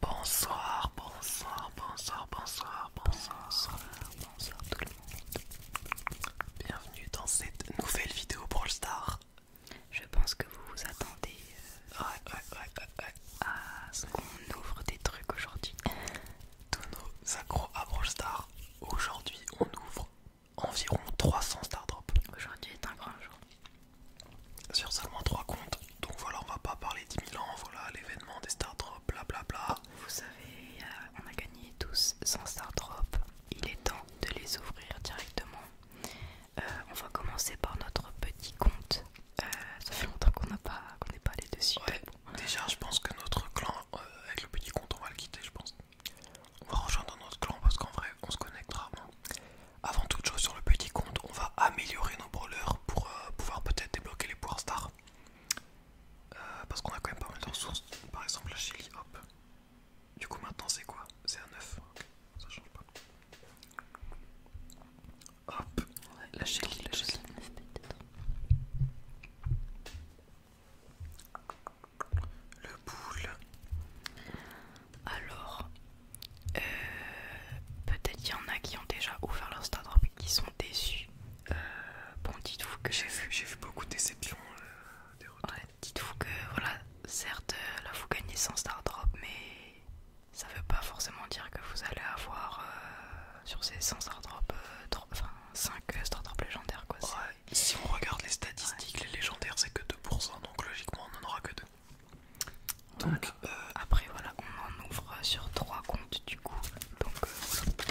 Bonsoir, bonsoir, bonsoir, bonsoir, bonsoir, bonsoir, bonsoir tout le monde. Bienvenue dans cette nouvelle vidéo Brawl Star. Je pense que vous vous attendez euh, à ce qu'on ouvre des trucs aujourd'hui. Tous nos accros à Brawl Star. Aujourd'hui, on ouvre environ 300 Star Aujourd'hui est un grand jour sur seulement 3 comptes. Donc voilà, on va pas parler 10 000 ans, voilà l'événement des Star Drops, blablabla. Vous savez, euh, on a gagné tous 100 Star Drops. Il est temps de les ouvrir directement. Euh, on va commencer par notre petit compte. Euh, ça fait longtemps qu'on n'a pas, qu'on n'est pas allé dessus. Ouais, Déjà, je pense que notre clan, avec le petit compte, on va le quitter, je pense. On va rejoindre notre clan parce qu'en vrai, on se connectera, rarement. Avant toute chose sur le petit compte, on va améliorer nos brawlers pour euh, pouvoir peut-être débloquer les Power stars. Euh, parce qu'on a quand même pas mal de ressources. Par exemple la chili, hop. Du coup maintenant c'est quoi C'est un 9. Ça change pas. Hop. la chili, la chili. Le boule. Alors, euh, peut-être qu'il y en a qui ont déjà ouvert leur Stardrop et qui sont déçus. Euh, bon, dites-vous que j'ai vu, beaucoup de déceptions. Euh, des dites-vous que, voilà, certes, là vous gagnez Star drop mais ça veut pas forcément dire que vous allez avoir sur ces 100 Stardrop, enfin 5 Stardrop légendaires quoi. si on regarde les statistiques, les légendaires c'est que 2%, donc logiquement on en aura que 2. Donc euh, après voilà, on en ouvre sur trois comptes du coup. Donc euh,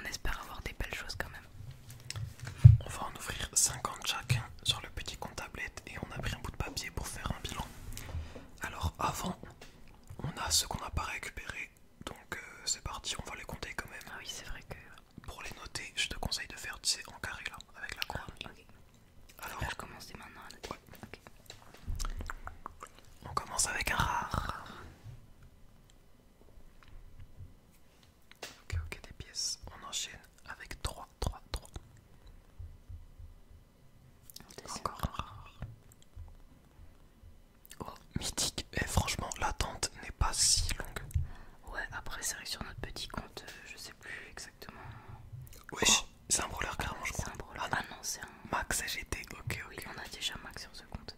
on espère avoir des belles choses quand même. On va en ouvrir 50 chacun sur le petit compte tablette et on a pris un bout de papier pour faire un bilan. Alors avant, on a ce qu'on n'a pas récupéré. Donc euh, c'est parti, on va les compter quand même. Ah oui, c'est vrai que... Pour les noter, je te conseille de faire, tu en carré là, avec la croix alors, commence maintenant On commence avec un rare. Ok, ok, des pièces. On enchaîne avec 3, 3, trois. Encore un rare. Oh, mythique. Et eh, franchement, l'attente n'est pas si longue. Ouais, après, c'est vrai sur notre petit compte, euh, je sais exactement. oui oh. c'est un brûleur clairement je crois. Ah, ah non, c'est un. Max AGT, ok, ok. Oui, on a déjà Max sur ce compte.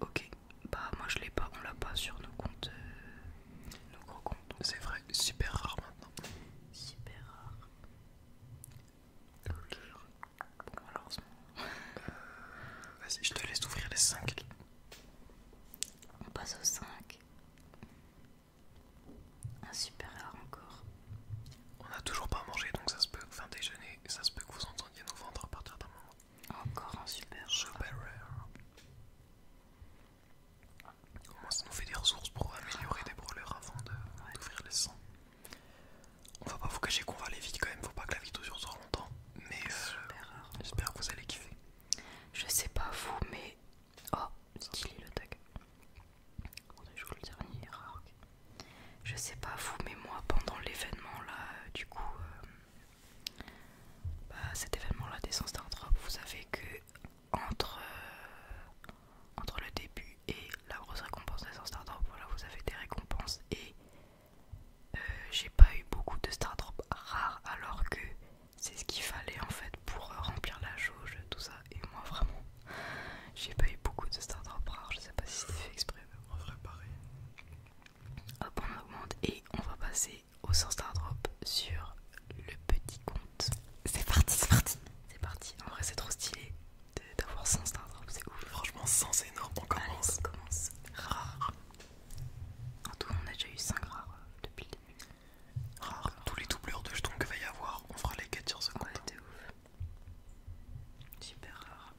Ok, bah moi je l'ai pas, on l'a pas sur nos comptes. Euh, nos gros comptes. C'est vrai, super rare maintenant. Super rare. malheureusement. Vas-y, je te laisse ouvrir les 5. On passe aux 5. Un supérieur encore. On a toujours pas mangé donc ça se peut, déjeuner, ça se peut que vous entendiez nous vendre à partir d'un moment. Encore un super. Super rare. Au moins ça nous fait des ressources pour améliorer des brûleurs avant d'ouvrir ouvrir les sangs. On va pas vous cacher qu'on va aller vite quand même, faut pas que la vidéo dure trop longtemps. Mais euh, j'espère que vous allez kiffer. Je sais pas vous, mais Oh, stylé le tag. Oh, je le dernier Je sais pas vous, mais moi pendant l'événement là, euh, du coup, euh, bah, cet événement là des 100 Stardrop, vous savez que euh, entre, le début et la grosse récompense des 100 Stardrop, voilà, vous avez des récompenses et j'ai pas eu beaucoup de Stardrop rares alors que c'est ce qu'il fallait en fait pour euh, remplir la jauge, tout ça. Et moi, vraiment, j'ai pas eu beaucoup de Star Drop rares, je sais pas si c'était fait exprès, mais en vrai, pareil. Hop, on augmente et on va passer au 100 Star Drop sur le petit compte. C'est parti, c'est parti, c'est parti. En vrai, c'est trop stylé d'avoir 100 Star Drop, c'est ouf. Franchement, 100 c'est énorme, on commence. on commence. Rare. En tout, on a déjà eu 5 rares euh, depuis le début. Rare, tous les doubleurs de jetons qu'il va y avoir, on fera les quêtes sur compte. Ouais, ouf. Super rare.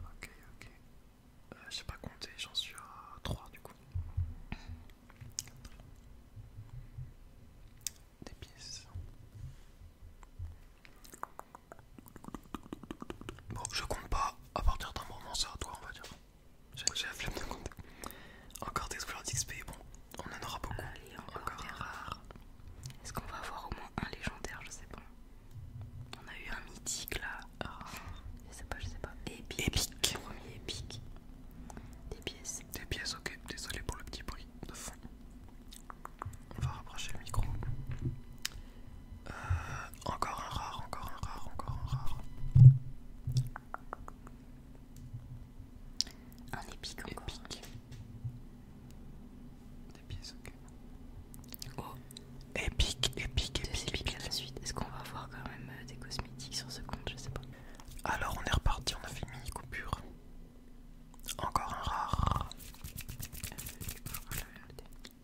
Ok, ok. Je euh, je sais pas compter, j'en suis à 3 du coup. Des pièces. Bon, je compte pas à partir d'un moment, c'est à toi, on va dire. J'ai la flemme de compter. Encore des couleurs d'XP, bon, on en aura beaucoup. encore, des rares. Est-ce qu'on va avoir au moins un légendaire Je sais pas. On a eu un mythique là. Ah. Je sais pas, je sais pas. Épique. Premier épic. Des pièces. Des pièces, ok. Désolé pour le petit bruit de fond. On va rapprocher le micro. Euh, encore un rare, encore un rare, encore un rare. Un épique encore. Épique. Des pièces, ok. Oh, épique, épique, épique. à la suite. Est-ce qu'on va avoir quand même euh, des cosmétiques sur ce compte Je sais pas. Alors, on est reparti, on a fait une mini coupure. Encore un rare.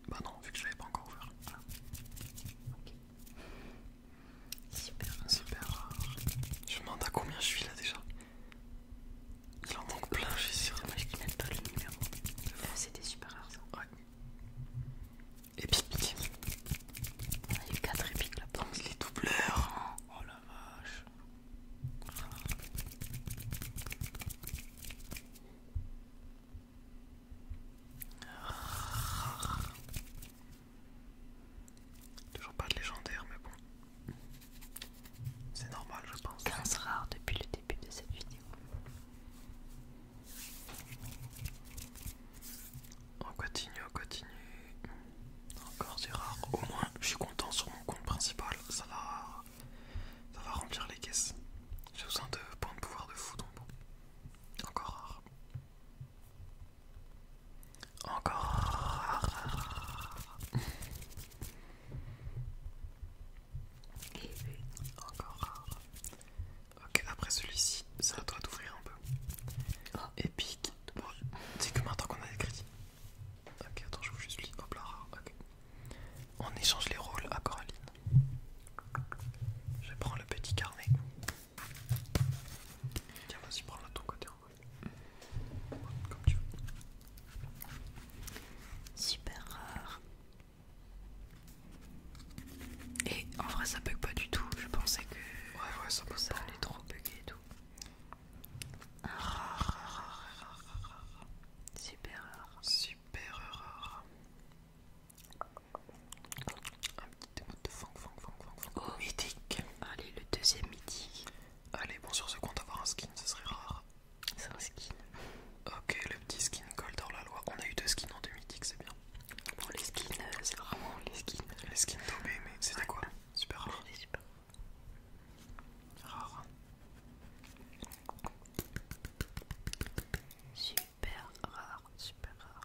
Bah non, vu que je l'avais pas encore ouvert. Ah. Ok. Super rare. Super rare. Je me demande à combien je suis là déjà. Il en manque plein, je suis sûr. C'est dommage qu'ils pas le numéro. Euh, c'était super rare ça. Ouais. Ah, il y a eu 4 épiques là. bas les doubleurs. Oh la vache. Toujours pas de légendaire, mais bon. C'est normal, je pense. 15 rare depuis le début de cette vidéo. On continue, on continue. Encore du rare. Au moins, je suis content sur mon compte principal. Ça va, ça va remplir les caisses. J'ai besoin de points de pouvoir de fou, donc bon. Encore rare. Encore. rare. encore. Ok, après celui-ci, ça à toi d'ouvrir un peu. Ah. Et Épique. c'est que maintenant qu'on a des Ok, attends, je vous juste lis. Hop là, On échange les rôles à Coraline. Je prends le petit carnet. Tiens, vas-y, prends-la ton côté Super rare. Et en vrai, ça bug pas du tout. Je pensais que. Ouais, ouais, ça allait trop bugger et tout. Super rare. Super rare. Un petit démo de fang, fang, fang, fang, Oh, mythique. Allez, le deuxième mythique. Allez, bon, sur ce compte, avoir un skin, ce serait rare. C'est un skin. Ok, le petit skin Gold dans la loi. On a eu deux skins en deux mythiques, c'est bien. Bon, les skins, euh, c'est vraiment les skins. Les skins tombés mais c'était quoi Super rare. rare. Super rare, super rare.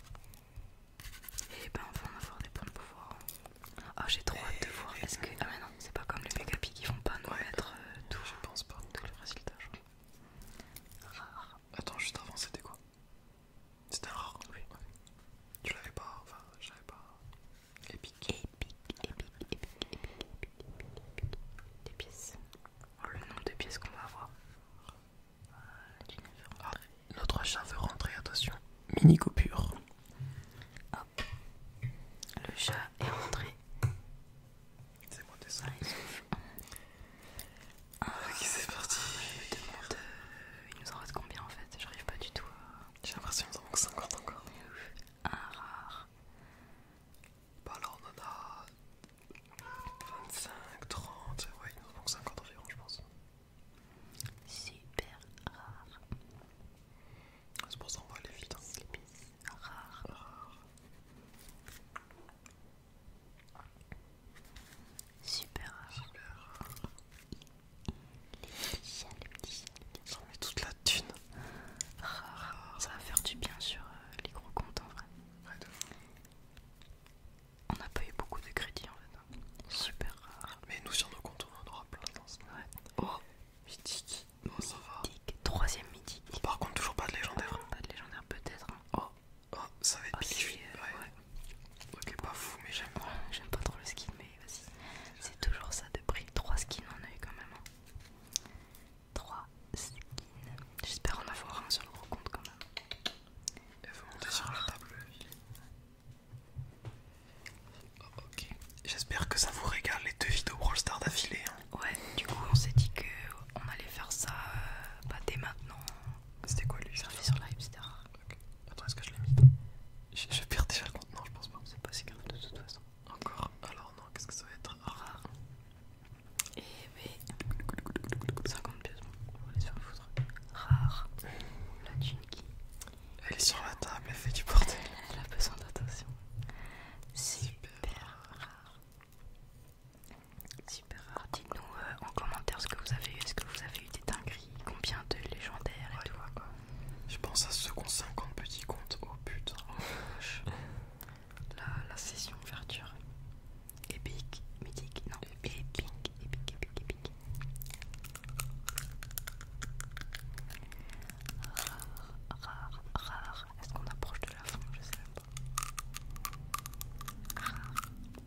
Et ben on va en avoir des points de pouvoir. Ah j'ai trop hâte de voir. Est-ce que. Ah mais non, c'est pas comme les Megapi qui vont pas nous mettre tout. Je pense pas. tous le résultat, Rares. Attends, juste avant c'était quoi C'était un rare Oui. Tu l'avais pas. Enfin, je l'avais pas. Epic. Epic, epic, epic, epic, epic, Des pièces. Oh le nombre de pièces qu'on va avoir. Voilà, tu rentrer. notre chat veut rentrer, attention. Mini coupure. Hop. Le chat est rentré. C'est moi des ah, ah, ok, c'est ah, parti. Euh, il nous en reste combien en fait J'arrive pas du tout à... J'ai l'impression qu'il nous en manque 50 encore. Un rare. Bah alors, on en a 25, 30, ouais il nous en manque 50 environ je pense. Super rare. Ah, c'est pour ça qu'on va aller vite. Hein. rare. Super rare. Super rare. Les filles, les toute la thune. Rare. Ça va faire du bien sur euh, les gros comptes en vrai. On n'a pas eu beaucoup de crédits en fait. Hein. Super rare. Mais nous sur nos comptes on en aura plein dans ce ouais. Oh Mythique. Bon ça mythique. Troisième mythique. par contre toujours pas de légendaire. pas de légendaire peut-être. Hein. Oh. oh ça va être oh, ouais. Ok pas fou mais j'aime. j'aime pas trop le skin mais vas-y. C'est toujours ça de prix. Trois skins en œil quand même. Hein. Trois skins. J'espère en avoir un sur le gros compte quand même. Elle veut monter sur la table, oh, J'espère que ça vous régale les deux vidéos Brawl Stars d'affilée. Hein. Ouais, du coup, on s'est dit que on allait faire ça euh, bah, dès maintenant. C'était quoi lui service sur live, c'était rare. Attends, est-ce que je l'ai mis je, perds déjà le compte. je pense pas. C'est pas si grave de toute façon. Encore Alors, non, qu'est-ce que ça va être Rare. Et eh, mais. 50 pièces, bon, on va les faire rare La Elle est sur la table, elle fait du bordel. Elle a besoin d'attention. Super, rare. Super rare. Dites-nous euh, en commentaire ce que vous avez eu. Est-ce que vous avez eu des dingueries Combien de légendaires et tout quoi. Je pense à ce qui ont 50 petits comptes. Oh putain. Oh la session ouverture. Épique, mythique, non, épique, épic épique, épic Rare, rare, rare. Est-ce qu'on approche de la fin Je sais pas. Rare,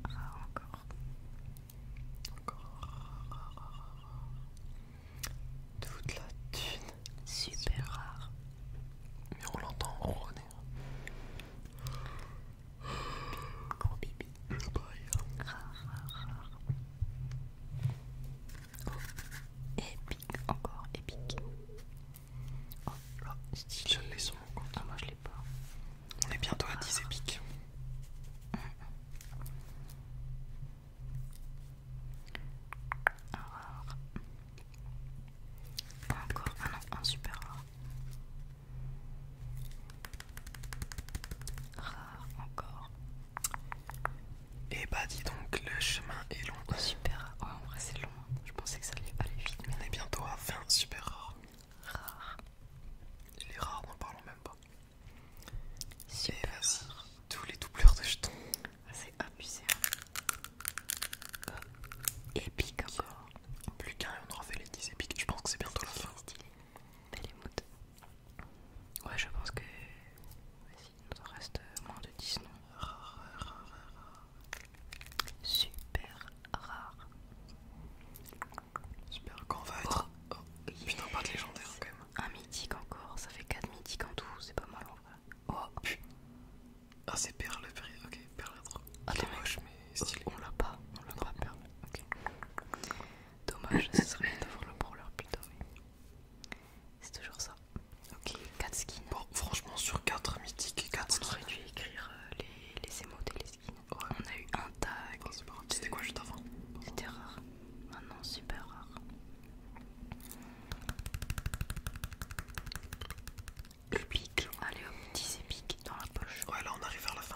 rare encore. Encore rare, rare, rare, Toute la thune. Super, rare. Mais on l'entend ronronner. Gros bibi. Oh, épique, encore épique. Oh là, Je l'ai sans mon compte. Ah, moi je l'ai pas. On est bientôt à 10 épiques. Encore un, ah un super rare. Rare encore. Et eh bah dis donc, le chemin est long. Oh, super, ouais, en vrai c'est long. Hein. Je pensais que ça allait aller vite. On est bientôt à 20 super rare Rare. Les rares, n'en parlons même pas. Et eh vas-y, tous les doubleurs de jetons. C'est abusé. Epic hein. euh, encore. Plus qu'un et on aura fait les 10 épiques. Je pense que c'est bientôt la fin. Belle Ouais, je pense que. Vas-y, il nous en reste euh, moins de 10 non Rare, rare, Super rare. Super, quand on va être. Oh, oh, Putain, pas de légendaire quand même. Un mythique encore, ça fait 4 mythiques en tout, c'est pas mal en vrai. Oh, Ah, c'est perle, le prix, ok perlâtre. Ah, dommage, mais stylé. On l'a pas, on l'a pas perlé. Dommage, ce serait bien de voir le brawler plutôt, c'est toujours ça. Ok, 4 skins. Bon, franchement, sur 4 mythiques et 4 skins. On aurait dû écrire euh, les, les émotes et les skins. Ouais. On a eu un tag. Oh, C'était quoi juste avant C'était rare. Maintenant, super rare. Le Épique. Allez hop, 10 épiques dans la poche. Ouais, là on arrive vers la fin.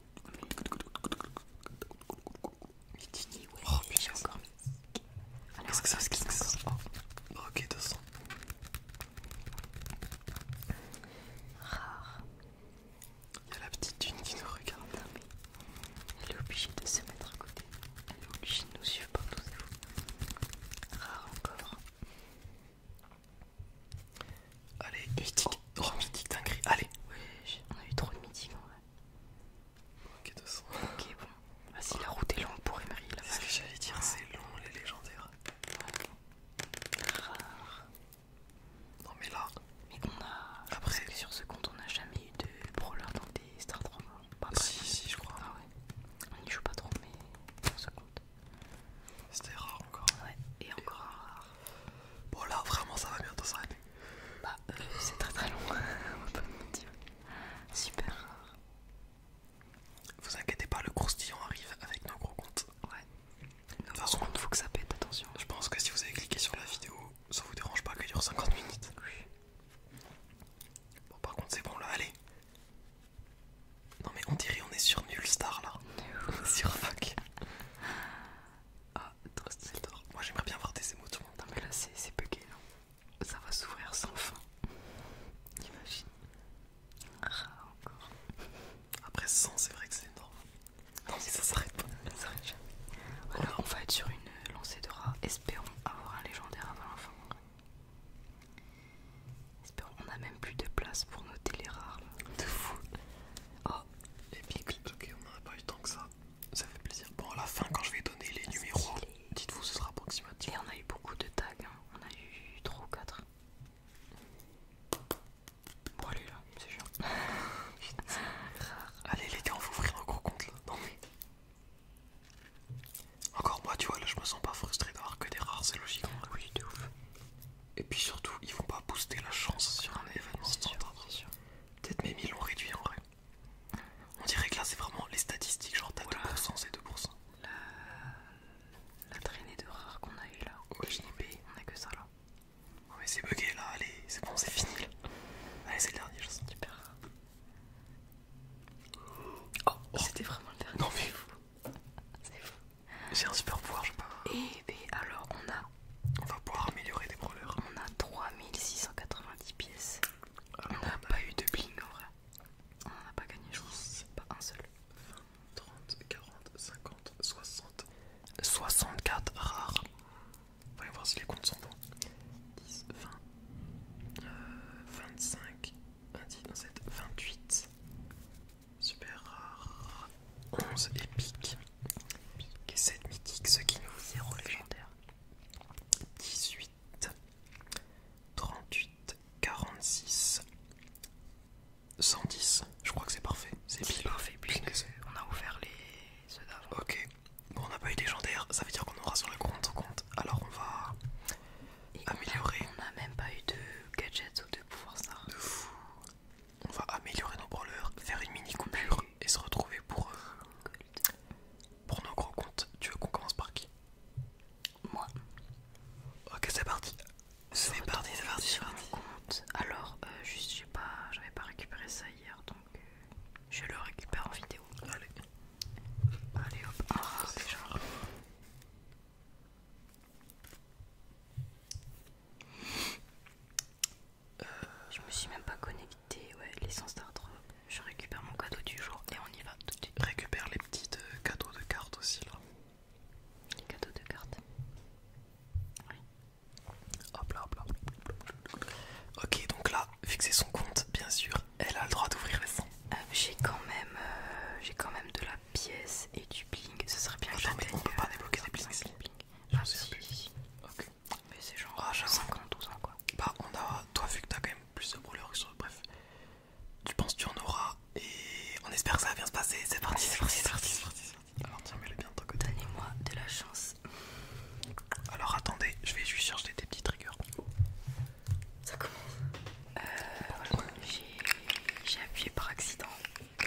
Mais tu dis ouais, oh, j'ai encore mis. Qu'est-ce que ça skin encore oh. Ok, 200. Rare. Il y a la petite dune qui nous regarde. mais elle est obligée de se mettre à côté. Elle est obligée de nous suivre partout. Rare encore. Allez, mythique. Oh, midi, dinguerie. Allez. Oui, on a eu trop de mythique en vrai. Ok, 200. Ok, bon. vas si la route est longue pour Emery, là C'est ce que j'allais dire, c'est long les légendaires. Rare. Non, mais là. Mais on a. Après. sur ce compte, on n'a jamais eu de brawler dans des Star hein. Si, si, je crois. Ah ouais. On n'y joue pas trop, mais sur ce compte. C'était rare encore. Ouais, et encore rare. Bon, là vraiment, ça va bientôt s'arrêter. Bah, euh, c'est très très long, Super rare. Vous inquiétez pas, le croustillant arrive avec nos gros comptes. Ouais. De toute façon, il faut que ça pète, attention. Je pense que si vous avez cliqué sur la vidéo, ça vous dérange pas qu'elle dure 50 minutes. Oui. Bon, par contre, c'est bon là, allez. Non, mais on dirait on est sur nul star là. sur fuck. Ah, le Moi j'aimerais bien voir des émotions. Non, mais là c'est bugué. Ça va s'ouvrir sans fin. Imagine. Ah, encore. Après 100, c'est vrai que c'est énorme. Non, mais ça s'arrête pas. Ça s'arrête jamais. Alors oh on va être sur une lancée de rats. Espérons avoir un légendaire avant la fin. Espérons, on a même plus de place pour noter les rares. De fou. Oh les pics, ok, on a pas eu tant que ça. Ça fait plaisir. Bon, à la fin, quand je vais donner les numéros, dites-vous, ce sera approximatif. Et on a eu beaucoup de tags, hein. on a eu 3 ou 4. Bon, allez là, c'est chiant. Rare. Allez, les gars, on va ouvrir un gros compte là. Non, Encore moi, tu vois, là je me sens pas frustré d'avoir que des rares, c'est logique. Oui, de ouf. Et puis surtout, ils vont pas booster la chance sur un événement standard. Peut-être même ils l'ont réduit en vrai. On dirait que là c'est vraiment les statistiques, genre t'as 2%, c'est 2%. La... traînée de rares qu'on a eu là. Ouais, on a que ça là. Ouais, c'est bugué là, allez, c'est bon, c'est fini là. Allez, c'est le dernier, je sens. Super. rare. Oh. C'était vraiment le dernier. Non mais. C'est fou. C'est un super pouvoir, je pas. Et eh, eh, alors, on a. On va pouvoir améliorer des brawlers. On a 3690 pièces. Ah, on n'a pas eu de bling en vrai. On n'a pas gagné, je pense. Pas un seul. 20, 30, 40, 50, 60. 64 rares. On va voir si les comptes sont bons. 10, 20, 25, 25, 27, 28. Super rare. 11 épiques. Et 7 mythiques, ce qui nous 0 légendaire. 18, 38, 46, 110. Je crois que c'est parfait. C'est pile. parfait puisque on a ouvert les ceux d'avant. Ok. Bon, on n'a pas eu légendaire, ça veut dire qu'on aura sur le compte compte. Alors on va améliorer. On n'a même pas eu de gadgets ou de pouvoir ça. De fou on va améliorer nos brawlers, faire une mini coupure et se retrouver pour, euh, pour nos gros comptes. Tu veux qu'on commence par qui Moi. Ok, c'est parti. C'est parti, c'est parti, Alors, je euh, juste, pas, j'avais pas récupéré ça hier, donc euh, je le récupère en vidéo. Allez. Allez hop. Ah, déjà. Euh, je me suis même pas connectée, ouais, l'essence d'art. Je récupère mon cadeau du jour et on y va tout de suite. Récupère les petits cadeaux de cartes aussi là. Les cadeaux de cartes. Oui. Hop là, hop là. Ok, donc là, fixer son compte, bien sûr, elle a le droit d'ouvrir les euh, j'ai quand même, euh, j'ai quand même de la pièces et du bling, ce serait bien que On peut pas débloquer des blings. Ah si. Ok. Mais c'est genre ah, 52 ans quoi. Bah on a, toi vu que t'as quand même plus de brûleurs que sur bref, tu penses tu en auras et on espère que ça va bien se passer. C'est parti, c'est parti, c'est parti, Alors tiens, mets-le bien de ton Donnez-moi de la chance. Alors attendez, je vais juste chercher tes petits triggers. Ça commence. Euh, j'ai appuyé par accident.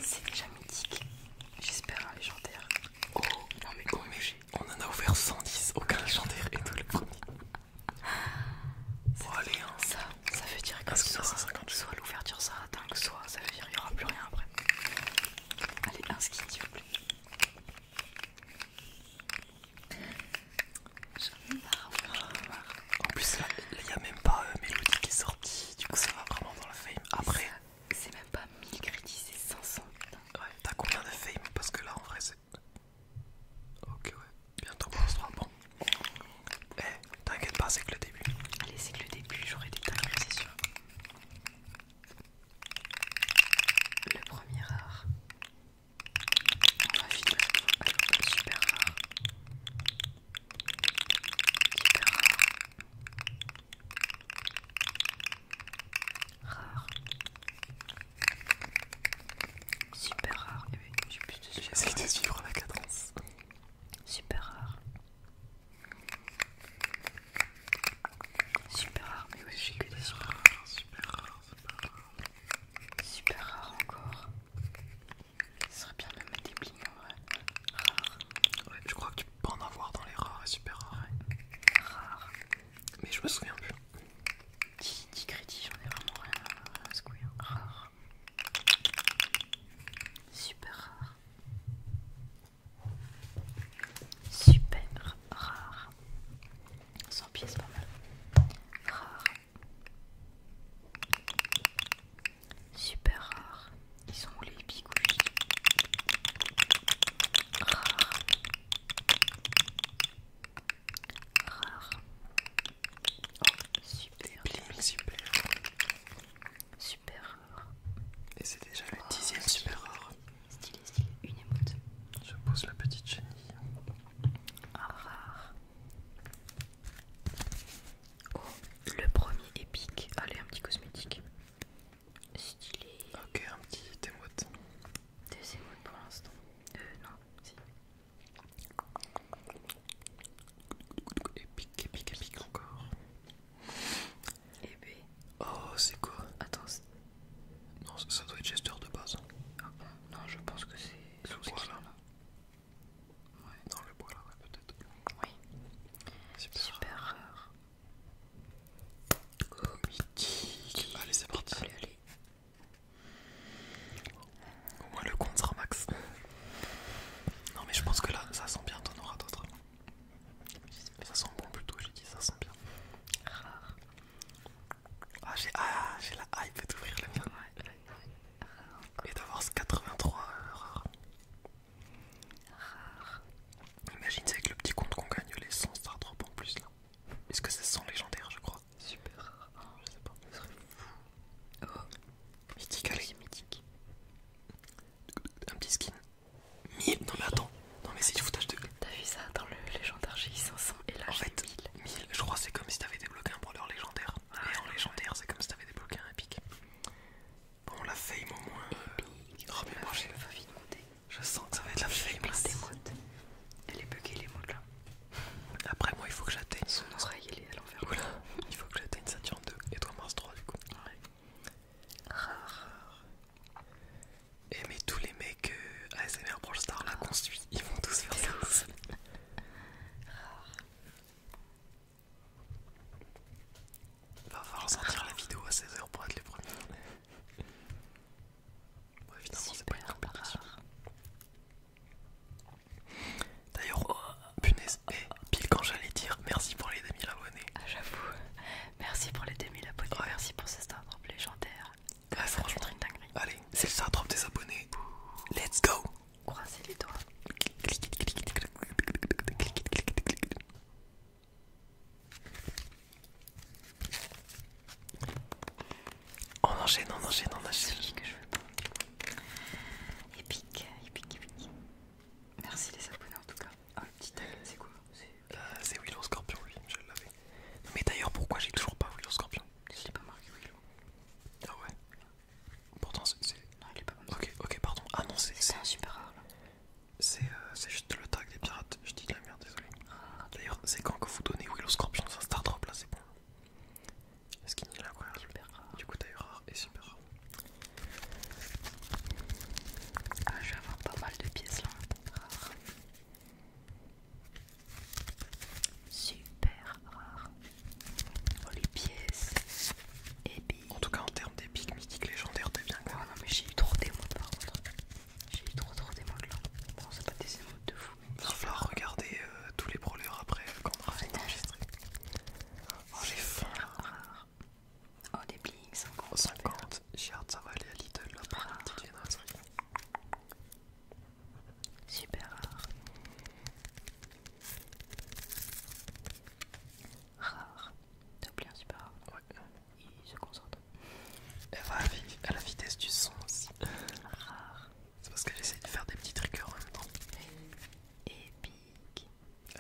C'est déjà mythique. J'espère un légendaire. Oh, non mais on, on en a ouvert 110, aucun légendaire et tout le premier. Bon allez hein. Ça, veut dire que, soit, l'ouverture ça dingue, soit ça veut dire qu'il n'y aura plus rien après. Allez, un skin s'il vous plaît. J'en ai marre, j'en ai marre. En plus là, il n'y a même pas euh, Mélodie qui sort du coup ça ah, va vraiment dans le fame. Après, c'est même pas 1000 crédits, c'est 500. Ouais, t'as combien de fame Parce que là en vrai c'est. Ok, ouais, bientôt on se bon. Eh, t'inquiète pas, c'est que le début. Allez, c'est que le début, j'aurai des tags, c'est sûr. Le premier rare. On va super rare. Rare. Super rare. Eh ben, avec oui, de super suivre la cadence. Super rare. Super rare, mais j'ai super rares. Super rare, super rare. Super rare encore. Ce serait bien de mettre des bling en vrai. rares. Ouais, je crois que tu peux pas en avoir dans les rares et super rares. Ouais. Rares. Mais je me souviens plus. 10, crédits, j'en ai vraiment rien à secouer. Hein. Rare. Super rare. Super rare. 100 pièces, pas mal. Rare. Super rare, Ils sont où les bigouilles Rares. rare, super. rare super. rare. Et c'est déjà le 10 dixième super rare. Stylé, stylé. Une émote. Je pose la petite chenille. rare. Oh, le premier épique. Allez, un petit cosmétique. Stylé. Ok, un petit émote. Deux émotes pour l'instant. Euh, non, si. Épique, épique, épique encore. Et eh ben. Oh, c'est quoi Attends. Non, ça doit être Chester de base. Ah, non, je pense que c'est. Ouais. Dans le bois là, ouais, peut-être. Oui. Super, Super rare. Oh, Allez, c'est parti. Allez, allez. Au moins le compte sera max. Non, mais je pense que là, ça sent bien, ton aura d'autres. Ça sent bon plutôt, j'ai dit, ça sent bien. Rare. Ah, j'ai ah, la hype d'ouvrir la mienne. Et d'avoir ce 83 rare. Rare. Imagine, c'est avec le petit compte qu'on gagne les 100 Drops en plus là. Est-ce que c'est 100 légendaires, je crois Super rare. je sais pas, ça serait fou. Oh, mythique, allez. Mythique. Un petit skin. Mille Non, mais attends. Non, mais c'est du foutage de T'as vu ça dans le légendaire J'ai 500 et là, en fait, 1000. Je crois c'est comme si t'avais débloqué un brawler légendaire. Ah, et en légendaire, c'est comme si t'avais débloqué un épique. Bon, la fame au moins. Épique. Oh, moi, je... sens que ça va être la fame. Elle est buggée, les modes là. Après, moi, il faut que j'atteigne. Son il à l'envers. Il faut que j'atteigne Saturne 2 et toi Mars 3, du coup. Rare Rare. Et eh, mais tous les mecs euh, ASMR Brawl Star là qu'on suit, ils vont tous faire ça. Rare. Va falloir sortir la vidéo à 16h pour être les premiers. Bon, évidemment, c'est pas une D'ailleurs, oh, punaise, eh, pile quand j'allais dire merci pour les 2000 abonnés. Ah, j'avoue, merci pour les 2000 abonnés. Merci pour ce Star Drop légendaire. Ouais, franchement, Allez, c'est le Star Drop des abonnés. Let's go! croisez les doigts. On enchaîne, on enchaîne, on enchaîne. que je Merci les abonnés en tout cas. Ah, euh, c'est Willow Scorpion, je l'avais. mais d'ailleurs, pourquoi j'ai toujours pas Willow Scorpion Je pas marqué Ah ouais Pourtant, c'est. Non, il est pas mal. Ok, ok, pardon. Ah non, c'est. C'est un super rare là. Euh, c'est juste le tag des pirates. Je dis de la merde, désolé. Ah. D'ailleurs, c'est quand que vous donnez Willow Scorpion sur star drop là, c'est bon. Skin a est Super rare. Du coup, t'as eu rare et super rare. Ah, je vais avoir pas mal de pièces là. Rare. Super rare. Oh, les pièces. Et en tout cas, en termes d'épique mythique légendaire, t'es bien quoi. Ah non, mais j'ai eu trop des modes par contre. J'ai eu trop trop d'émotes là. Bon, c'est pas des émotes de fou. Il va falloir regarder euh, tous les brawlers après euh, quand on aura les enregistré. Oh, les faim Oh, des blings, 50. 50. J'ai hâte, ça va aller à Lidl la Super rare rare. T'as oublié un super rare Ouais. Il se concentre. va à la vitesse du son aussi. Rare. C'est parce que j'essaie de faire des petits triggers en même temps. Épique.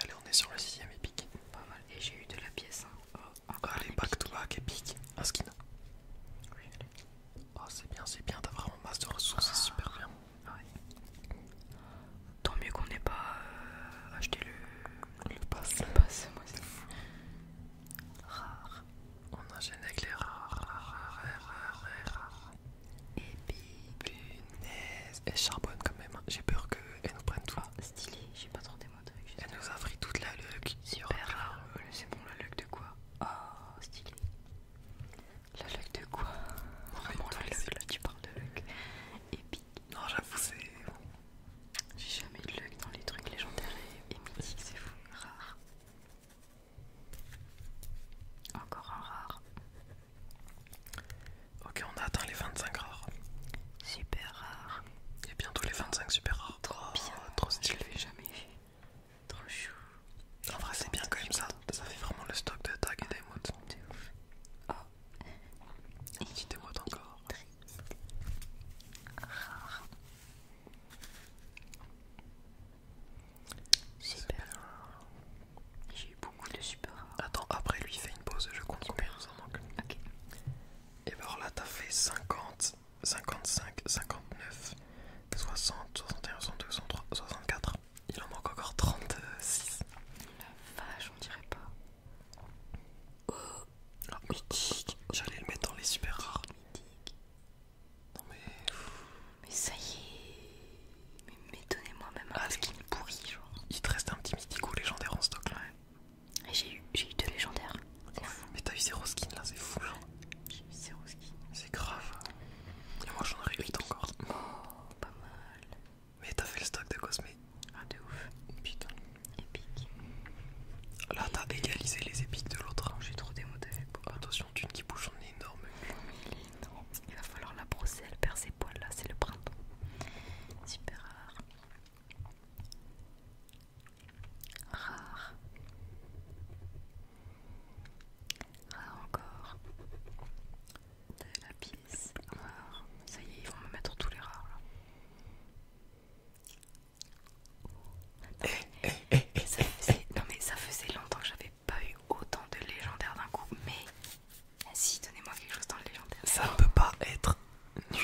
Allez, on est sur le sixième épique. Pas mal. Et j'ai eu de la pièce hein. oh, Allez, back to back, épique. Un skin. Oui. Oh, c'est bien, c'est bien. T'as vraiment masse de ressources. C'est ah. super bien. Tant mieux qu'on n'ait pas euh, acheté le, le pass. moi Rare. On enchaîne avec les rares, rares, rares, rares, rares. Et punaise. Elle charbonne quand même. Hein. J'ai peur qu'elle nous prenne tout. Ah, stylé, j'ai pas trop des mots avec. Elle nous a pris toute la luck. sur euh, C'est bon, la luck de quoi Oh, stylé. La luck de quoi Vraiment la luc, là tu parles de luck épique. Non, j'avoue, c'est. J'ai jamais eu de luck dans les trucs légendaires et, mythiques, c'est fou. Rare. Encore un rare. Ok, on a atteint les 25 rares. Super rare. Et bientôt les 25 super rares. Trop oh, trop stylé. j'ai jamais Trop chou. En vrai, c'est bien quand même ça. Ça fait vraiment le stock de tags et d'émotes. C'est il Tu te encore. Super rare. J'ai eu beaucoup de super rares. Attends, après lui, fait une pause, je compte Et bah alors là, t'as fait 50, 55, 59, 60, 61, 62, 63, 64. Il en manque encore 36. La vache, on dirait pas. Oh, ah, mythique. J'allais le mettre dans les super rares. Mythique. Non mais. Mais ça y est. Mais, donnez-moi même un skin pourri, genre. Il te reste un petit mythique ou légendaire en stock là. j'ai eu, deux légendaires. Mais t'as eu zéro skin là, c'est fou. Genre. J'ai eu zéro skin. C'est grave. Et moi j'en ai 8 encore. Oh, pas mal. Mais t'as fait le stock de Cosme Ah de ouf Putain Épique Là t'as égalisé les épiques de l'autre j'ai trop démodé Attention tu qui bouge son énorme Il énorme Il va falloir la brosser, elle perd ses poils là, c'est le printemps Super rare Rare Rare encore de la pisse. Ah, ça y est, ils vont me mettre tous les rares là. Non mais, ça faisait, longtemps que j'avais pas eu autant de légendaires d'un coup, mais eh, si donnez-moi quelque chose dans le légendaire. Ça ne peut pas être nul.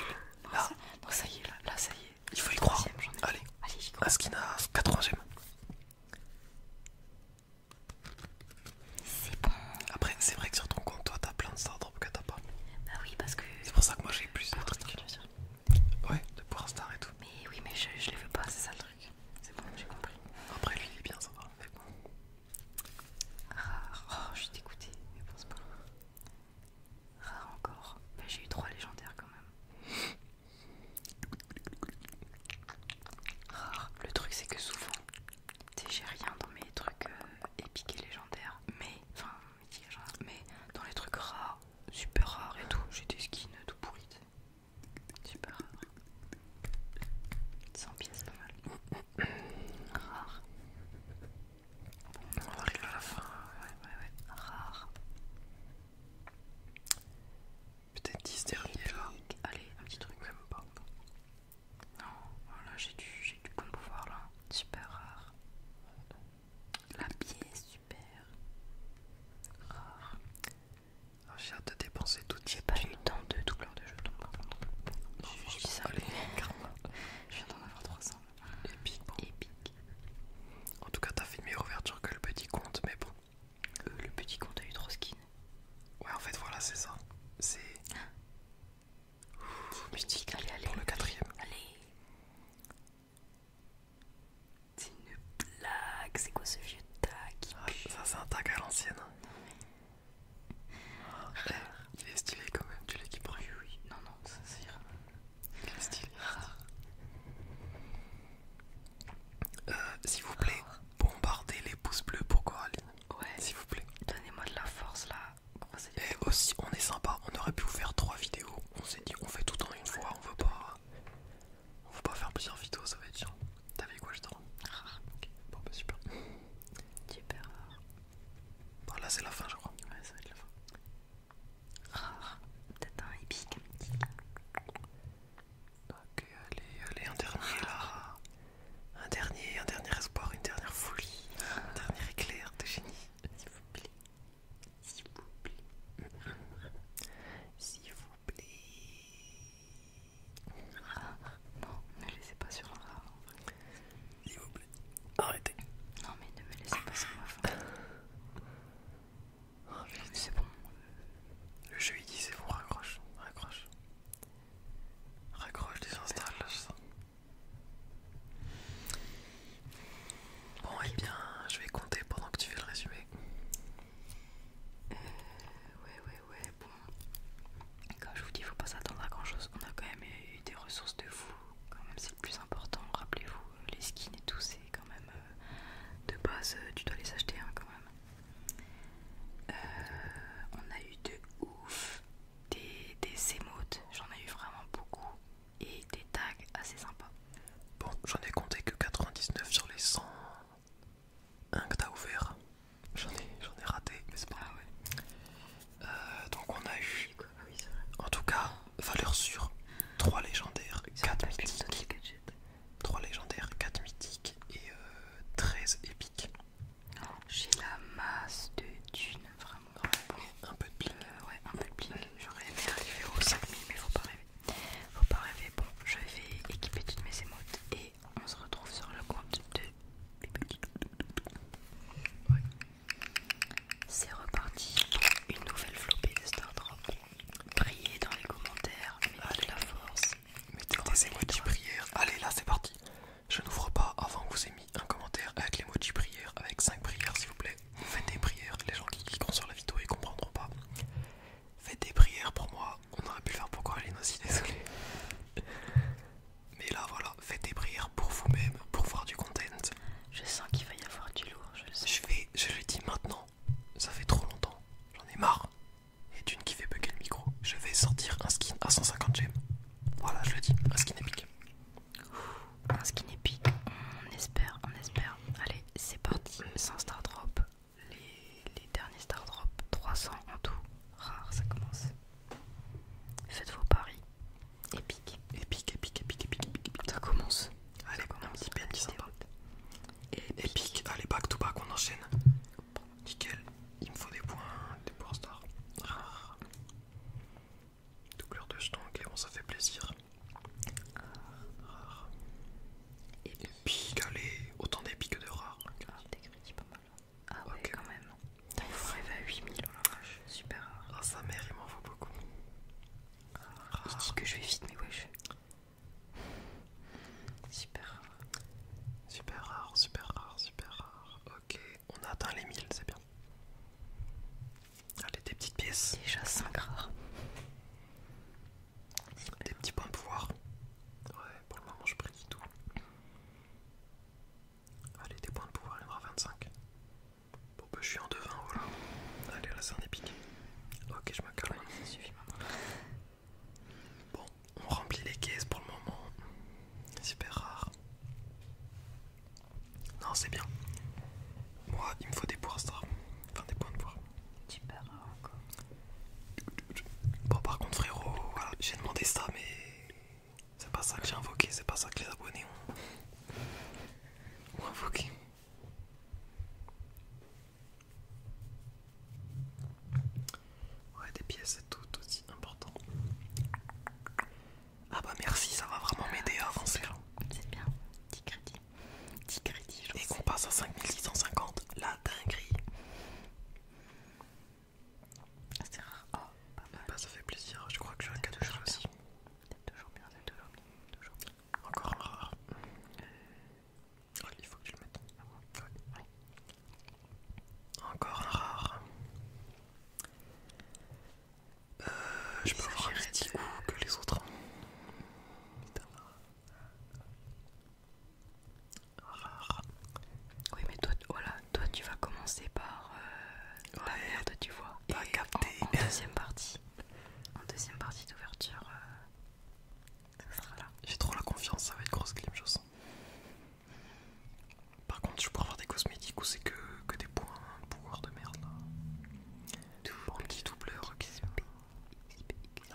là. Ça, y est, là, là ça y est. Il faut y croire. Allez, Allez y crois. n'a qu'à ème c'est bon. Après, c'est vrai que sur ton compte, toi, t'as plein de stars que t'as pas. Bah oui, parce que. C'est pour ça que moi j'ai plus de trucs. Ouais, de pouvoir star et tout. Mais oui, mais je, les veux pas, c'est ça le truc. C'est bon, j'ai compris. Après, lui, il est bien, ça va. Mais bon. Rare. Ah, oh, je suis dégoûtée, mais pense pas. Rare encore. Bah, j'ai eu trois légendaires quand même. Rare. Le truc, c'est que souvent, j'ai rien dans mes trucs euh, épiques et légendaires, mais enfin, hein, mais dans les trucs rares, super rares et tout, j'ai des skins tout pourris, super rares, 100 pièces, pas mal, rare. Bon, on arrive à la fin, ouais, ouais, ouais, rare. Peut-être 10 derniers là. Allez, un petit truc. Même pas. Non, oh, voilà, j'ai du, du bon pouvoir là. Super rare. La pièce, super rare. Ah, j'ai hâte de dépenser tout J'ai pas eu tant de de jetons par contre. Je dis ça. Allez, je viens d'en avoir 300. Là. Épique, bon. En tout cas, t'as fait une meilleure ouverture que le petit compte, mais bon. Euh, le petit compte a eu de skins. Ouais, en fait, voilà, c'est ça. C'est. Musique allez, allez, pour le quatrième. Allez. C'est une blague. C'est quoi ce vieux tag ah, Ça, c'est un tag à l'ancienne. Hein. Ah, mais... Il est stylé quand même. Tu l'as Oui, oui. Non, non, ça c'est. Il est stylé. S'il vous plaît, bombardez les pouces bleus pour Coraline. Ouais. S'il vous plaît. Donnez-moi de la force là. Et aussi, on est sympa. On aurait pu vous faire trois vidéos. On s'est dit, on fait tout en une fois. On veut pas, on veut pas faire plusieurs vidéos. Ça va être chiant. t'avais quoi je t'en Rare. Ah, ah, bon bah super. Super rare. là c'est la fin je crois. Ouais ça va être la fin. Rare. Ah, Peut-être un épique. Ok allez allez un dernier là un dernier, espoir, une dernière folie, un dernier éclair de génie. S'il vous plaît, s'il vous plaît, s'il vous plaît. Ah, non, ne me laissez pas sur ma fin. S'il vous plaît, arrêtez. Non, mais ne me laissez pas sur ma fin. Oh, c'est bon. Le jeu il dit c'est bon, raccroche, raccroche. Raccroche, désinstalle. Bon, et eh bien, je vais compter pendant que tu fais le résumé. Euh, ouais, ouais, ouais, bon. Quand je vous dis, faut pas s'attendre à grand chose. On a quand même eu des ressources de fou. Quand même, c'est le plus important. Rappelez-vous, les skins et tout, c'est quand même euh, de base, euh, tu dois les acheter hein, quand même. Euh, on a eu de ouf des, émotes, j'en ai eu vraiment beaucoup et des tags assez sympas. Bon, j'en ai compté que 99 sur les 100 1 que t'as ouvert. J'en ai, raté, c'est pas ah euh, donc on a eu, ah en tout cas, valeur sûre 3 légendaires, 4 mythiques. légendaires, mythiques et 13 euh, épiques. J'ai la masse de thunes, vraiment. grosse Un peu de bling. Euh, ouais, un peu de bling. J'aurais aimé arriver aux 5000, mais faut pas rêver. Faut pas rêver. Bon, je vais équiper toutes mes émotes et on se retrouve sur le compte de ouais. C'est reparti pour une nouvelle flopée de Star Drop. Priez dans les commentaires, mettez la force. Mettez des émotes prièrent. Allez, là, c'est parti. Je n'ouvre pas avant que vous ayez mis un commentaire avec les mots du prière, avec cinq prières s'il vous plaît. Faites des prières, les gens qui cliqueront sur la vidéo ils comprendront pas. Faites des prières pour moi, on aurait pu le faire pour Coraline aussi, désolé. Mais là voilà, faites des prières pour vous-même, pour voir du content. Je sens qu'il va y avoir du lourd, je le Je, vais, je le dis maintenant, ça fait trop longtemps, j'en ai marre, et d'une qui fait bugger le micro, je vais sortir un skin à 150 gemmes. Voilà, je le dis, un skin épique. Un skin épique, on espère, on espère. Allez, c'est parti, 100 star drop. Les, derniers star drop, 300 en tout. Rare, ça commence. Faites vos paris. Épique. Épique, épique, épique, épique, épique. Ça commence. Allez, on a un petit PNJ sympa. Épique. Allez, back to back, on enchaîne. Nickel, il me faut des points, des points stars. rares. Doubleur de jetons, ok, bon, ça fait plaisir. Rare Rare Et des allez, autant des que de rares. Ah, des crédits pas mal. Ah ouais, quand même. Il faut arriver à 8000, super rare. Ah, sa mère, il m'en faut beaucoup. Rare ah, Il que je vais vite, mais wesh. Super rare. Super rare, super rare, super rare. Ok, on a atteint les 1000, c'est bien. Allez, des petites pièces. Déjà 5 rares. Des petits points de pouvoir. Ouais, pour le moment je prédis tout. Allez, des points de pouvoir, il y en aura 25. Bon, bah je suis en devant. voilà. Allez, là c'est un épique. Ok, je me calme. suffit maintenant. Bon, on remplit les caisses pour le moment. Super rare. Non, c'est bien. Moi, il me faut des poires, Enfin, des points de poire. Super rare encore. Bon, par contre, frérot, j'ai demandé ça, mais c'est pas ça que j'ai invoqué, c'est pas ça que les abonnés ont invoqué. Ouais, des pièces c'est tout aussi important. Ah bah merci, ça va vraiment ah, m'aider à avancer. Hein. C'est bien, 10 crédits. 10 crédits Et qu'on passe à 5650, la dinguerie. C'est rare. Oh, pas mal. Bah, ça fait plaisir, je crois que j'ai un cadeau de aussi. C'est toujours bien, c'est toujours bien, Encore un rare. Euh, oh, il faut que je le mette ah encore un rare. Euh, je peux avoir un petit coup que les autres. Rare. Oui, mais toi, voilà, toi tu vas commencer par la euh, merde, tu vois. Et en, deuxième partie, en deuxième partie d'ouverture, euh, ça sera là. J'ai trop la confiance, ça va être grosse clim, je sens. Par contre, je pourrais avoir des cosmétiques où c'est que, des points de pouvoir de merde là. petit doubleur, ok.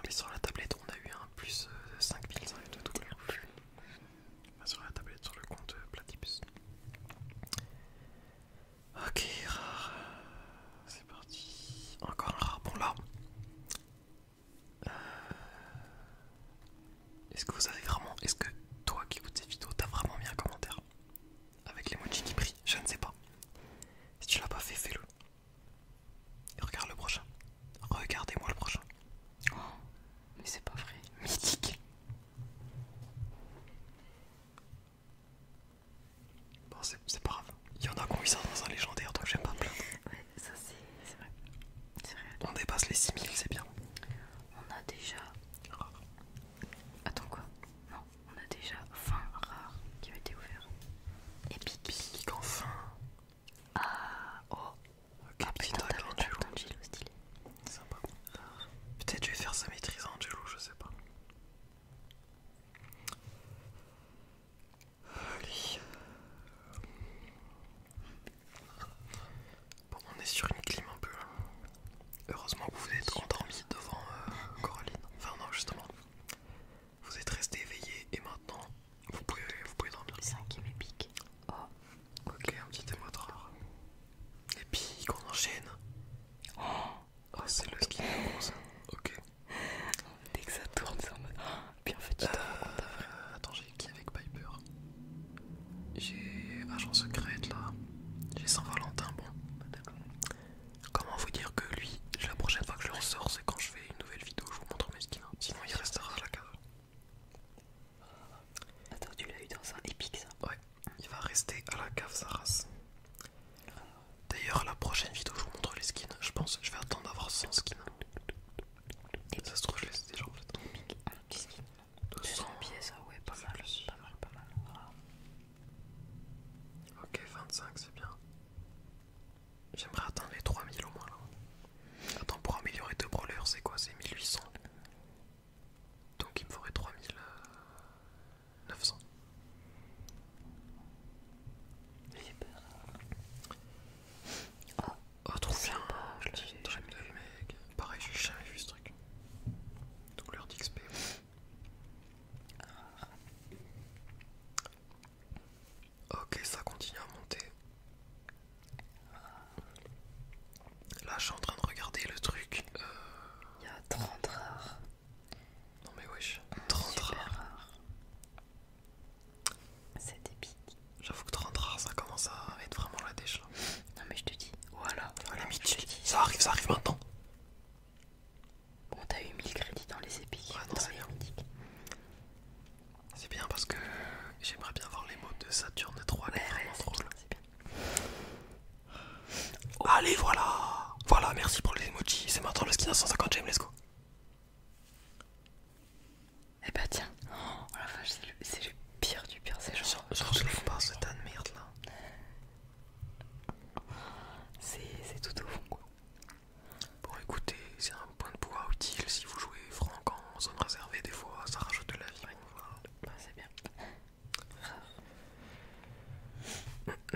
sur la tablette, on a eu un plus 5000 euh, de doubleur. Pas sur la tablette, sur le compte euh, Platypus. Ok, rare. C'est parti. Encore un rare. Bon, là, euh, est-ce que vous avez vraiment. Est-ce que toi qui écoutes cette vidéo t'as vraiment mis un commentaire Avec l'emoji qui brille Je ne sais pas. Si tu l'as pas fait, fais-le. Et regarde le prochain. Regardez-moi le prochain. Oh, mais c'est pas vrai. Mythique. Bon, c'est pas grave. Il y en a qui ont ça dans un légendaire, donc j'aime pas plaindre. ça c'est. C'est vrai. On dépasse les 6000, c'est bien. On a déjà. Attends quoi Non, on a déjà fin rares qui ont été ouverts. Epic. enfin Ah oh ah, putain, Angelo. stylé. Sympa. Peut-être je vais faire sa maîtrise à Angelo, je sais pas. Bon, on est sur une clim un peu. Hein. Heureusement que vous êtes endormi devant euh, Coraline. Enfin, non, justement. Vous êtes resté éveillé et maintenant vous pouvez, vous pouvez dormir. 5 épique. pique. Ok, un petit émoteur. Et puis qu'on enchaîne. Oh, ah, c'est le skin de bronze. Hein. Ok. Dès que ça tourne, ça me. Bien fait, euh, Attends, j'ai qui avec Piper J'ai Agent Secret là. J'ai Saint-Valentin, bon. Comment vous dire que lui, la prochaine fois que je le ressors, c'est quand je fais une nouvelle vidéo, je vous montre mes skins. Sinon, il restera à la cave. Euh, attends, tu l'as eu dans un épique ça Ouais, il va rester à la cave sa race. D'ailleurs, la prochaine vidéo, je vous montre les skins. Je pense je vais attendre d'avoir 100 skins ça se trouve, je laisse déjà en fait. 200 billets, ça, ouais, pas mal, pas mal, pas mal. Ok, 25, c'est bien. J'aimerais atteindre les 3000 au moins là. Attends, pour améliorer 2 brawlers, c'est quoi C'est 1800. Donc il me faudrait 3900. J'ai peur oh, trop bien, je l'ai jamais de mec. Pareil, j'ai jamais vu ce truc. Douleur d'XP. Ah. Ok, ça continue à monter. Là, je suis en train de regarder le truc. Euh, Il y a 30 rares. Non, mais wesh, 30 rares. C'est épique. J'avoue que 30 rares, ça commence à être vraiment la déche Non, mais je te dis, voilà. Ça arrive, ça arrive maintenant. Bon, t'as eu 1000 crédits dans les épiques. c'est bien. parce que j'aimerais bien voir les mots de Saturne 3. Ouais, Allez, voilà. Voilà, merci pour les emojis. C'est maintenant le skin à 150 j'aime let's go. Eh bah tiens, oh c'est le, pire du pire, c'est genre. Genre, je l'ouvre pas ce tas de merde là. C'est tout au fond quoi. Bon, écoutez, c'est un point de pouvoir utile si vous jouez franc en zone réservée, des fois ça rajoute de la vie. Bah, c'est bien.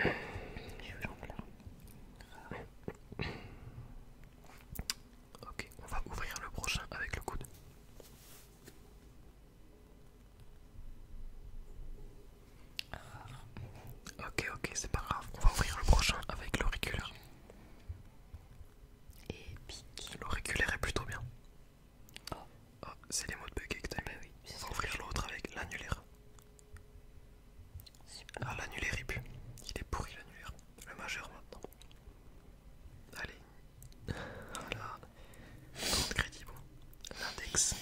Ok, on va ouvrir le prochain avec le coude. Ah. Ok, ok, c'est pas grave. On va ouvrir le prochain avec l'auriculaire. puis L'auriculaire est plutôt bien. Oh. Ah, c'est les mots de bugger que t'aimes. Bah on va ouvrir l'autre avec l'annulaire. Ah, l'annulaire il Il est pourri l'annulaire. Le majeur maintenant. Allez, voilà. bon. L'index.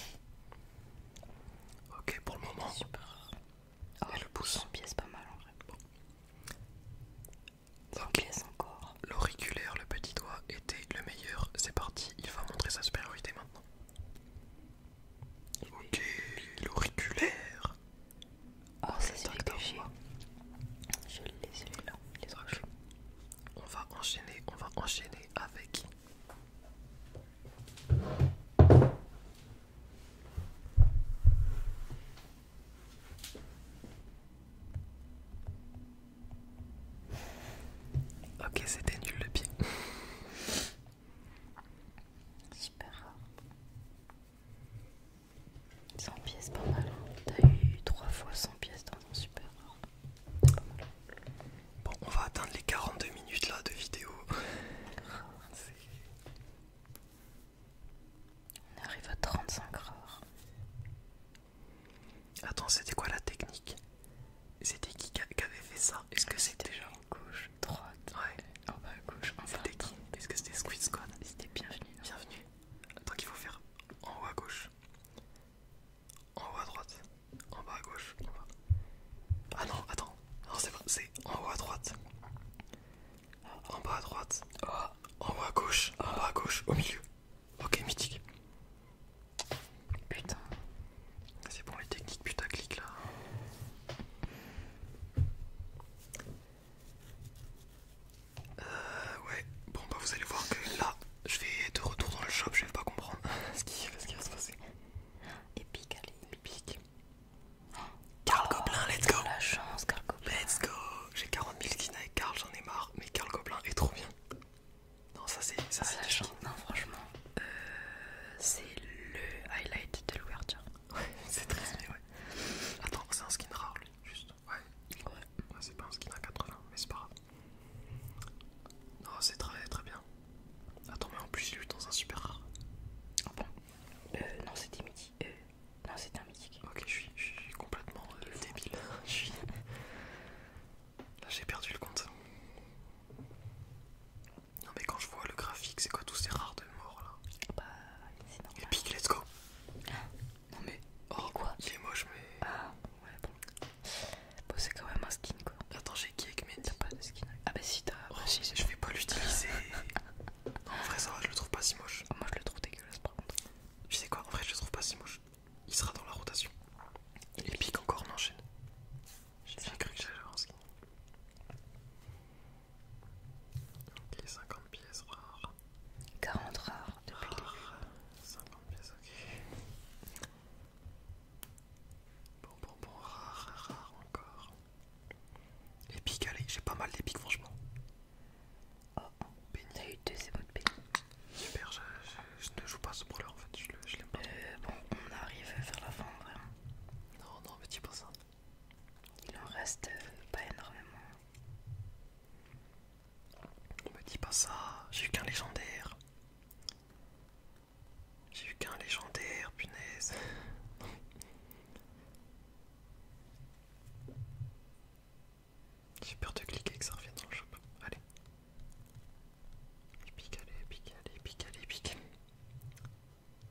Ok pour le moment. le pouce. pièce pas mal en vrai. encore. L'auriculaire, le petit doigt était le meilleur. C'est parti, il va montrer sa supériorité maintenant. Ok, l'auriculaire. Oh, c'est celui que j'ai. Je l'ai celui-là, les roches. On va enchaîner, on va enchaîner avec. Ok, c'était nul le pied. Super rare. 100 pièces, pas mal. Hein. T'as eu 3 fois 100 pièces dans un super rare. Bon, on va atteindre les 42 minutes là de vidéo. on arrive à 35 heures. Attends, c'était quoi la technique C'était qui qui avait fait ça Est-ce que ah, c'était genre gauche, droite Ouais. En ah, bas à gauche, en bas à droite. Est-ce que c'était Squid Squad C'était bienvenue. bienvenue. Attends qu'il faut faire en haut à gauche, en haut à droite, en bas à gauche, Ah non, attends, non c'est c'est en haut à droite, en bas à droite, en haut à gauche, en bas à gauche, au milieu. Ok, mythique. Putain. C'est bon les techniques putaclic là. Euh, ouais, bon bah vous allez voir que là, je vais être de retour dans le shop, je vais pas comprendre ce, qui, va se passer. Épique, allez, épique. Carl Goblin let's go! La chance, Carl Goblin Let's go! J'ai 40 000 skins avec Carl, j'en ai marre, mais Carl Goblin est trop bien. Non, ça c'est. Ça c'est la chance, non, franchement. Euh, c'est le highlight de l'ouverture. c'est triste, mais ouais. Attends, c'est un skin rare lui. Juste, ouais. c'est pas un skin à 80, mais c'est pas grave. Non, c'est très très bien. Attends, mais en plus, il est dans un super rare. Ah bon Euh, non, c'était mythique. Euh, non, c'était un mythique. Ok, je suis, je complètement euh, débile. Là, j'ai perdu le compte. Non, mais quand je vois le graphique, c'est quoi tous ces rares de mort là ah Bah, c'est normal. Epic, let's go ah, non mais. Oh, quoi Il est moche, mais. Ah, ouais, bon. c'est quand même un skin quoi. Attends, j'ai qui avec Mehdi T'as pas de skin Ah, bah si, t'as. Oh, bah, je vais pas l'utiliser. en vrai, ça va, je le trouve pas si moche. Ah, moi, je le trouve dégueulasse par contre. Tu sais quoi En vrai, je le trouve pas si moche. Il sera dans la rotation. Et pique, encore, on enchaîne. J'ai cru que j'allais avoir un skin. Ok, 50 pièces rares. 40 rares de 50 pièces, ok. Bon, bon, bon, rare, rare encore. Les pics allez, j'ai pas mal d'épiques, franchement. Oh, t'as eu deux émots de béni. Super, je, ne joue pas ce brawler en fait, je, l'aime pas. Euh, bon, on arrive vers la fin, vraiment. Non, non, mais dis pas ça. Il en reste euh, pas énormément. Ne me dit pas ça, j'ai eu qu'un légendaire. J'ai eu qu'un légendaire, punaise. J'ai peur de cliquer que ça revienne dans le shop. Allez. Épique, allez, épique, allez, épique, allez, épique.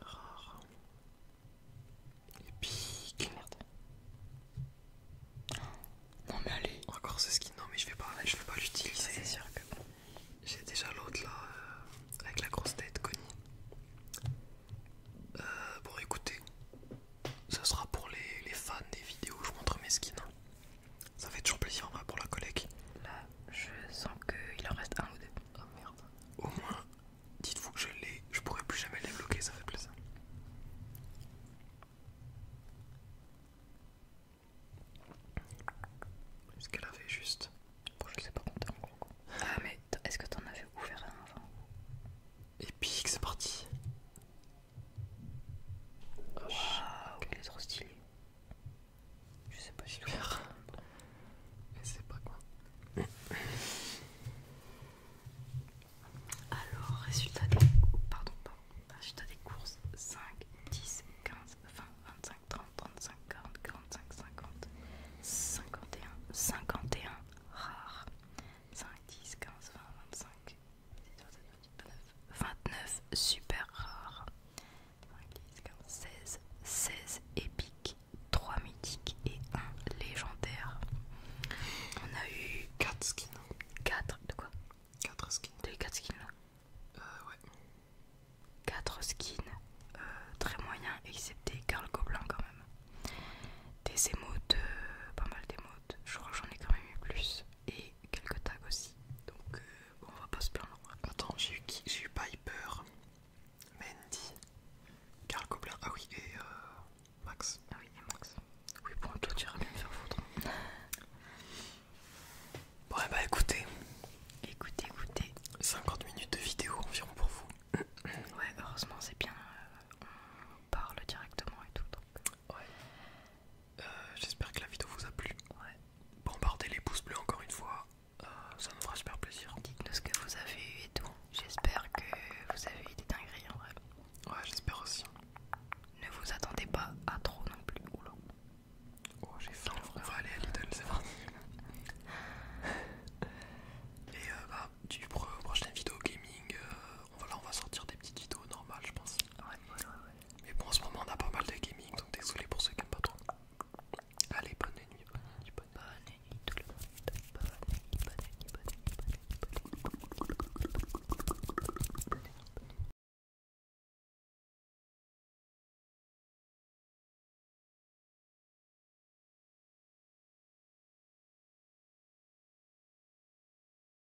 Rare. Et Épique. Merde. Non mais allez. Encore ce skin. Non mais je vais pas, je vais pas l'utiliser. C'est sûr J'ai déjà l'autre là euh, avec la grosse tête Connie. Euh, bon écoutez, ce sera pour les, fans des vidéos. où Je montre mes skins. Hein. Ça fait toujours plaisir pour la collègue. Là, je sens qu'il en reste un ou deux. Oh merde. Au moins, dites-vous que je l'ai, je pourrai plus jamais les bloquer, ça fait plaisir. Ce qu'elle avait juste. Bon, je sais pas compter encore. Ah, mais est-ce que t'en avais ouvert un avant Et puis c'est parti. Oh, il est trop stylé. Je sais pas si le Mais c'est pas quoi. Alors, résultat des... des courses. 5, 10, 15, 20, 25, 30, 35, 40, 45, 50, 51, 51, rare. 5, 10, 15, 20, 25, 29 super rares, 16, 16 épiques, 3 mythiques et 1 légendaire. On a eu 4 skins. 4 de quoi 4 skins. 4 skins euh, ouais. 4 skins euh, très moyens, excepté Carl Goblin quand même. Des émotes, euh, pas mal d'émotes, je crois j'en ai quand même eu plus. Et quelques tags aussi, donc euh, on va pas se plaindre. Attends, j'ai eu qui J'ai eu Piper, Mandy, Karl Goblin ah oui, et euh, Max. Ah oui, et Max. Oui, bon, tout tu iras bien me faire foutre. Bon, bah écoutez, écoutez, écoutez, 50 minutes de vidéo environ pour vous. ouais, heureusement, c'est bien, euh, on parle directement et tout, donc. Ouais. Euh, j'espère que la vidéo vous a plu. Bombardez les pouces bleus encore une fois, euh, ça nous fera super plaisir. Dites-nous ce que vous avez eu et tout. J'espère que vous avez eu des dingueries en vrai. Ouais, j'espère aussi. Ne vous attendez pas à trop non plus. Oula. Oh, j'ai faim. On va aller à Lidl, c'est parti. et euh, bah, du prochain prochaine vidéo gaming, on, va, on va sortir des petites vidéos normales, je pense. ouais. ouais. Mais bon, en ce moment, on a pas mal de gaming, donc désolé pour ceux qui aiment pas trop. Allez, bonne nuit, bonne tout le monde. bonne nuit, bonne nuit. Bonne nuit.